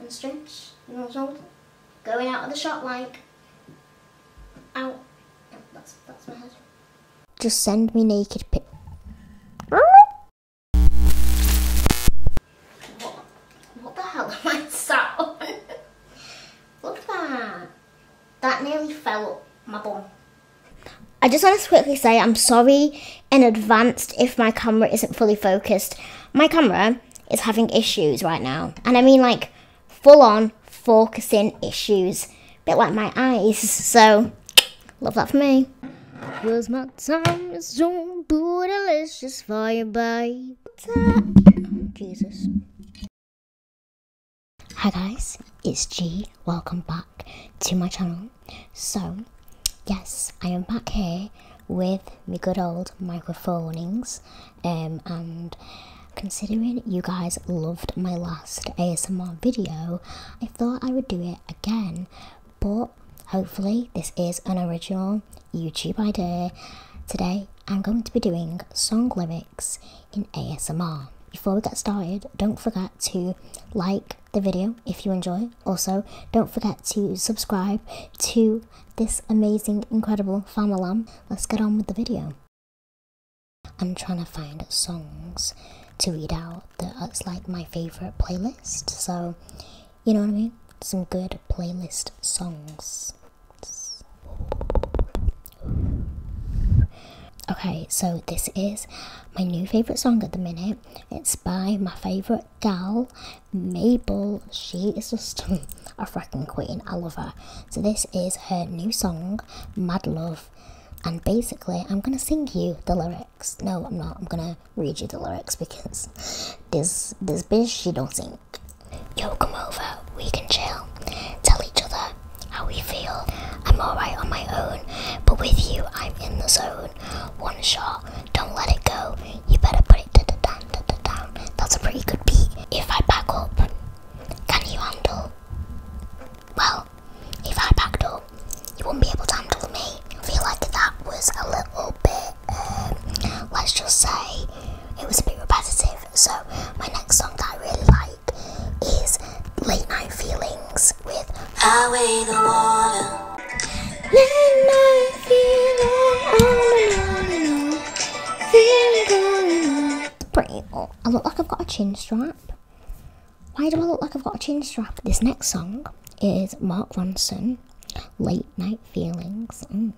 and strings and all sorts. Going out of the shot like, out. Oh, that's, that's my head. Just send me naked pic. what, what the hell am I sat on? Look at that. That nearly fell up my bum. I just want to quickly say I'm sorry in advance if my camera isn't fully focused. My camera is having issues right now. And I mean like full on focusing issues. bit like my eyes. So love that for me. Jesus. Hi guys, it's G. Welcome back to my channel. So, yes, I am back here with my good old microphoneings, um, and considering you guys loved my last ASMR video, I thought I would do it again. But hopefully, this is an original YouTube idea. Today, I'm going to be doing song lyrics in ASMR. Before we get started, don't forget to like, the video if you enjoy. Also, don't forget to subscribe to this amazing, incredible farm alarm. Let's get on with the video. I'm trying to find songs to read out that's like my favorite playlist. So, you know what I mean? Some good playlist songs. Okay, so this is my new favorite song at the minute. It's by my favorite gal. Mabel, she is just a freaking queen. I love her. So, this is her new song, Mad Love. And basically, I'm going to sing you the lyrics. No, I'm not. I'm going to read you the lyrics because this, this bitch, she don't sing. Yo, come over. We can chill. Tell each other how we feel. I'm alright on my own, but with you, I'm in the zone. One shot don't let it go. You better put it down, That's a pretty good beat. If I back up, can you handle? Well, if I backed up, you wouldn't be able to handle me. I feel like that was a little bit, um, let's just say, it was a bit repetitive. So, my next song that I really like is Late Night Feeling Pretty. Oh, I look like I've got a chin strap. Why do I look like I've got a chin strap? This next song is Mark Ronson, Late Night Feelings. Mm,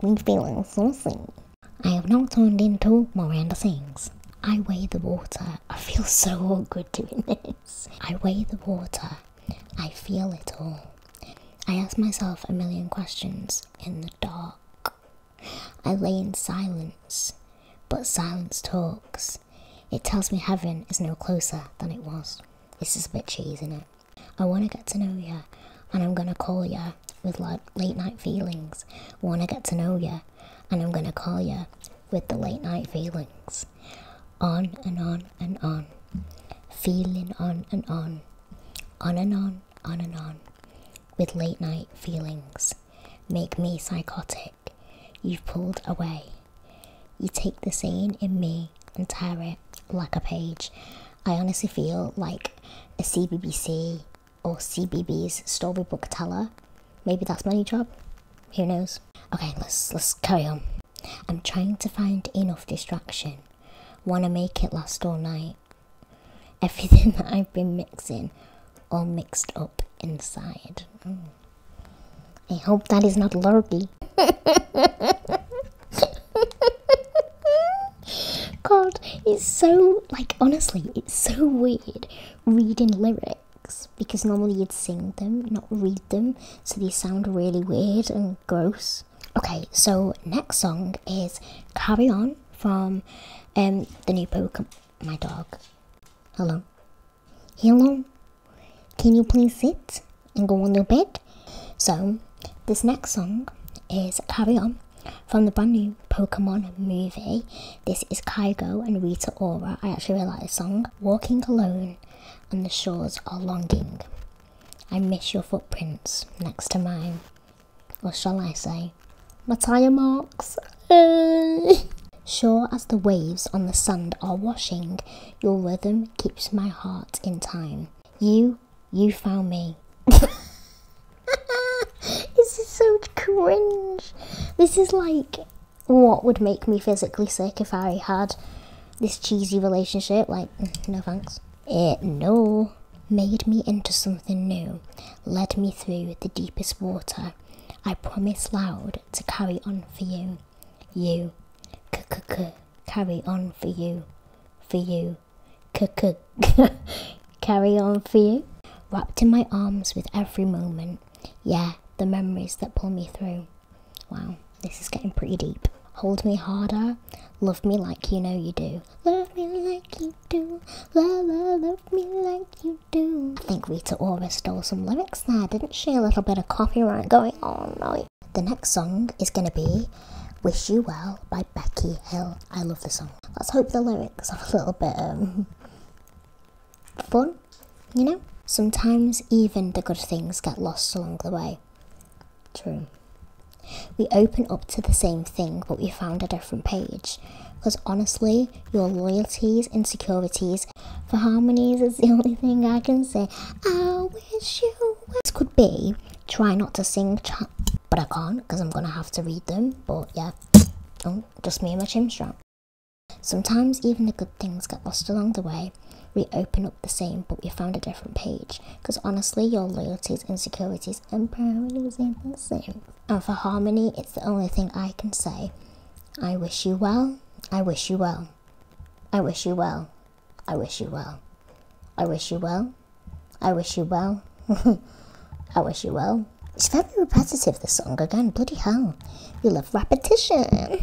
we feeling saucy. I have now turned into Miranda Sings. I weigh the water. I feel so awkward doing this. I weigh the water I feel it all. I ask myself a million questions in the dark. I lay in silence, but silence talks. It tells me heaven is no closer than it was. This is a bit cheesy, isn't it? I want to get to know you, and I'm going to call you with like late night feelings. Want to get to know you, and I'm going to call you with the late night feelings on and on and on, feeling on and on, on and on, on and on, with late night feelings. Make me psychotic. You've pulled away. You take the scene in me and tear it like a page. I honestly feel like a CBBC or CBB's storybook teller. Maybe that's my new job. Who knows? Okay, let's let's carry on. I'm trying to find enough distraction. Wanna make it last all night. Everything that I've been mixing, all mixed up inside. I hope that is not lurgy. God, it's so like honestly, it's so weird reading lyrics because normally you'd sing them, not read them, so they sound really weird and gross. Okay, so next song is Carry On from um, the new Pokemon. My dog. Hello. Hello. Can you please sit and go on your bed? So, this next song is Carry On from the brand new Pokemon movie. This is Kaigo and Rita Ora. I actually really like this song walking alone on the shores are longing. I miss your footprints next to mine. Or shall I say, my tyre marks? sure as the waves on the sand are washing, your rhythm keeps my heart in time. You, you found me. this is so cringe. This is like what would make me physically sick if I had this cheesy relationship? Like, no thanks. It no made me into something new, led me through the deepest water. I promise loud to carry on for you, you, c c c carry on for you, for you, c c carry on for you. Wrapped in my arms with every moment, yeah, the memories that pull me through. Wow, this is getting pretty deep. Hold me harder, love me like you know you do. Love me like you do, la la, love me like you do. I think Rita Ora stole some lyrics there, didn't she? A little bit of copyright going on, right? The next song is going to be Wish You Well by Becky Hill. I love the song. Let's hope the lyrics are a little bit um, fun, you know? Sometimes even the good things get lost along the way. True. We open up to the same thing, but we found a different page. Because honestly, your loyalties, insecurities, for harmonies is the only thing I can say. I wish you. This could be try not to sing, but I can't because I'm gonna have to read them. But yeah, oh, just me and my chin strap. Sometimes even the good things get lost along the way. We open up the same, but we found a different page. Because honestly, your loyalties, insecurities, and priorities ain't the same. And for harmony, it's the only thing I can say. I wish you well. I wish you well. I wish you well. I wish you well. I wish you well. I wish you well. It's very repetitive, this song. Again, bloody hell. You love repetition.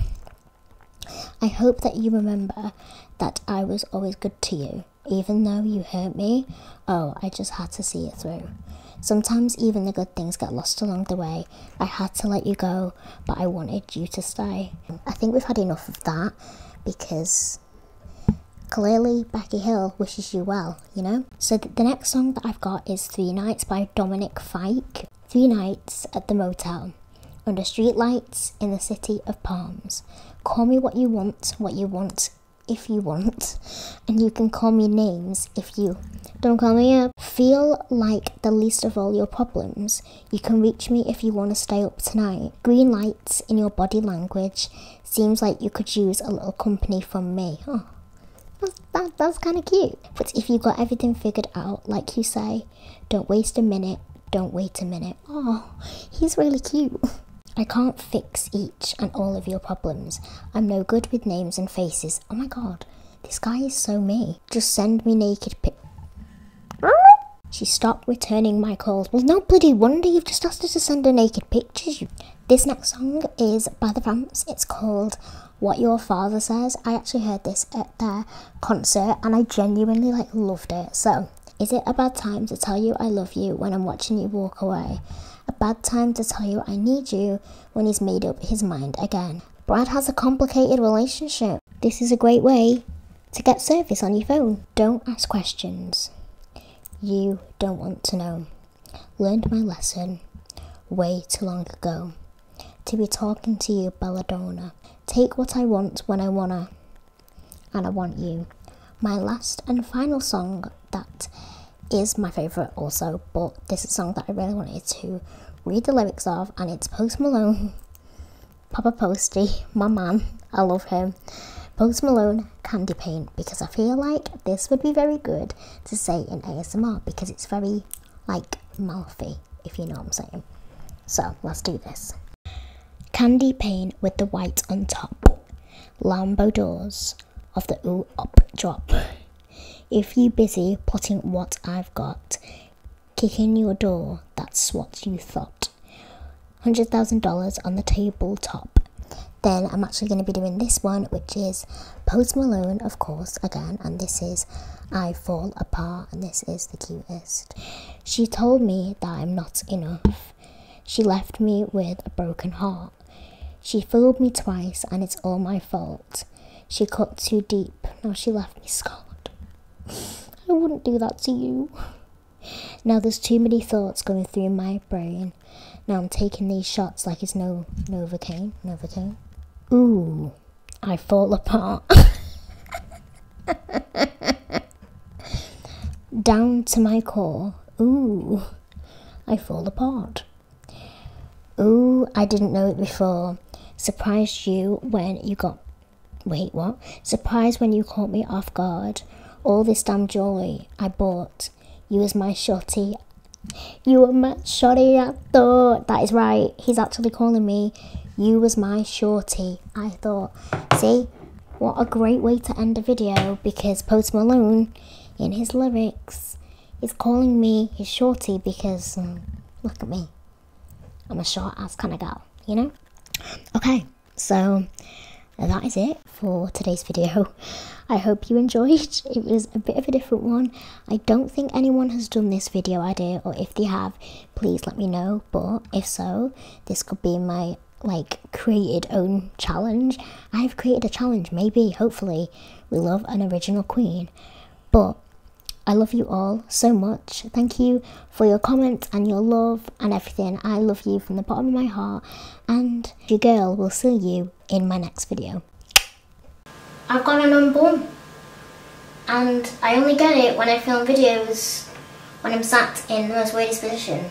I hope that you remember that I was always good to you. Even though you hurt me, oh, I just had to see it through. Sometimes even the good things get lost along the way. I had to let you go, but I wanted you to stay. I think we've had enough of that because clearly Becky Hill wishes you well you know? So the next song that I've got is Three Nights by Dominic Fike. Three nights at the motel, under streetlights in the city of palms. Call me what you want, what you want, if you want, and you can call me names if you don't call me up. Feel like the least of all your problems. You can reach me if you want to stay up tonight. Green lights in your body language. Seems like you could use a little company from me. Oh, that's, that's kind of cute. But if you got everything figured out, like you say, don't waste a minute, don't wait a minute. Oh, he's really cute. I can't fix each and all of your problems. I'm no good with names and faces. Oh my god, this guy is so me. Just send me naked pic. she stopped returning my calls. Well, no bloody wonder you've just asked her to send her naked pictures. This next song is by The Vamps. It's called What Your Father Says. I actually heard this at their concert and I genuinely like loved it. So, is it a bad time to tell you I love you when I'm watching you walk away? A bad time to tell you I need you when he's made up his mind again. Brad has a complicated relationship. This is a great way to get service on your phone. Don't ask questions you don't want to know learned my lesson way too long ago to be talking to you, Belladonna. Take what I want when I wanna, and I want you. My last and final song that is my favourite also, but this is a song that I really wanted to read the lyrics of, and it's Post Malone, Papa Posty, my man, I love him. Post Malone candy paint because I feel like this would be very good to say in ASMR because it's very like mouthy, if you know what I'm saying. So let's do this. Candy paint with the white on top. Lambo doors of the ooh up drop. If you busy plotting what I've got, kick in your door, that's what you thought. $100,000 on the tabletop then I'm actually going to be doing this one, which is Post Malone, of course, again, and this is I Fall Apart, and this is the cutest. She told me that I'm not enough. She left me with a broken heart. She fooled me twice, and it's all my fault. She cut too deep, now she left me scarred. I wouldn't do that to you. Now there's too many thoughts going through my brain. Now I'm taking these shots like it's no Novocaine. Novocaine. Ooh, I fall apart. Down to my core. Ooh, I fall apart. Ooh, I didn't know it before. Surprised you when you got. Wait, what? Surprised when you caught me off guard. All this damn jewelry I bought you was my shorty, You were my shorty. I thought. That is right. He's actually calling me. You was my shorty, I thought. See, what a great way to end a video because Post Malone, in his lyrics, is calling me his shorty because mm, look at me. I'm a short ass kind of girl, you know? Okay. So that is it for today's video. I hope you enjoyed. It was a bit of a different one. I don't think anyone has done this video idea or if they have, please let me know. But if so, this could be my like created own challenge. I've created a challenge, maybe, hopefully, we love an original queen. But I love you all so much. Thank you for your comments and your love and everything. I love you from the bottom of my heart and your girl will see you in my next video. I've got an unborn and I only get it when I film videos when I'm sat in the most weirdest position.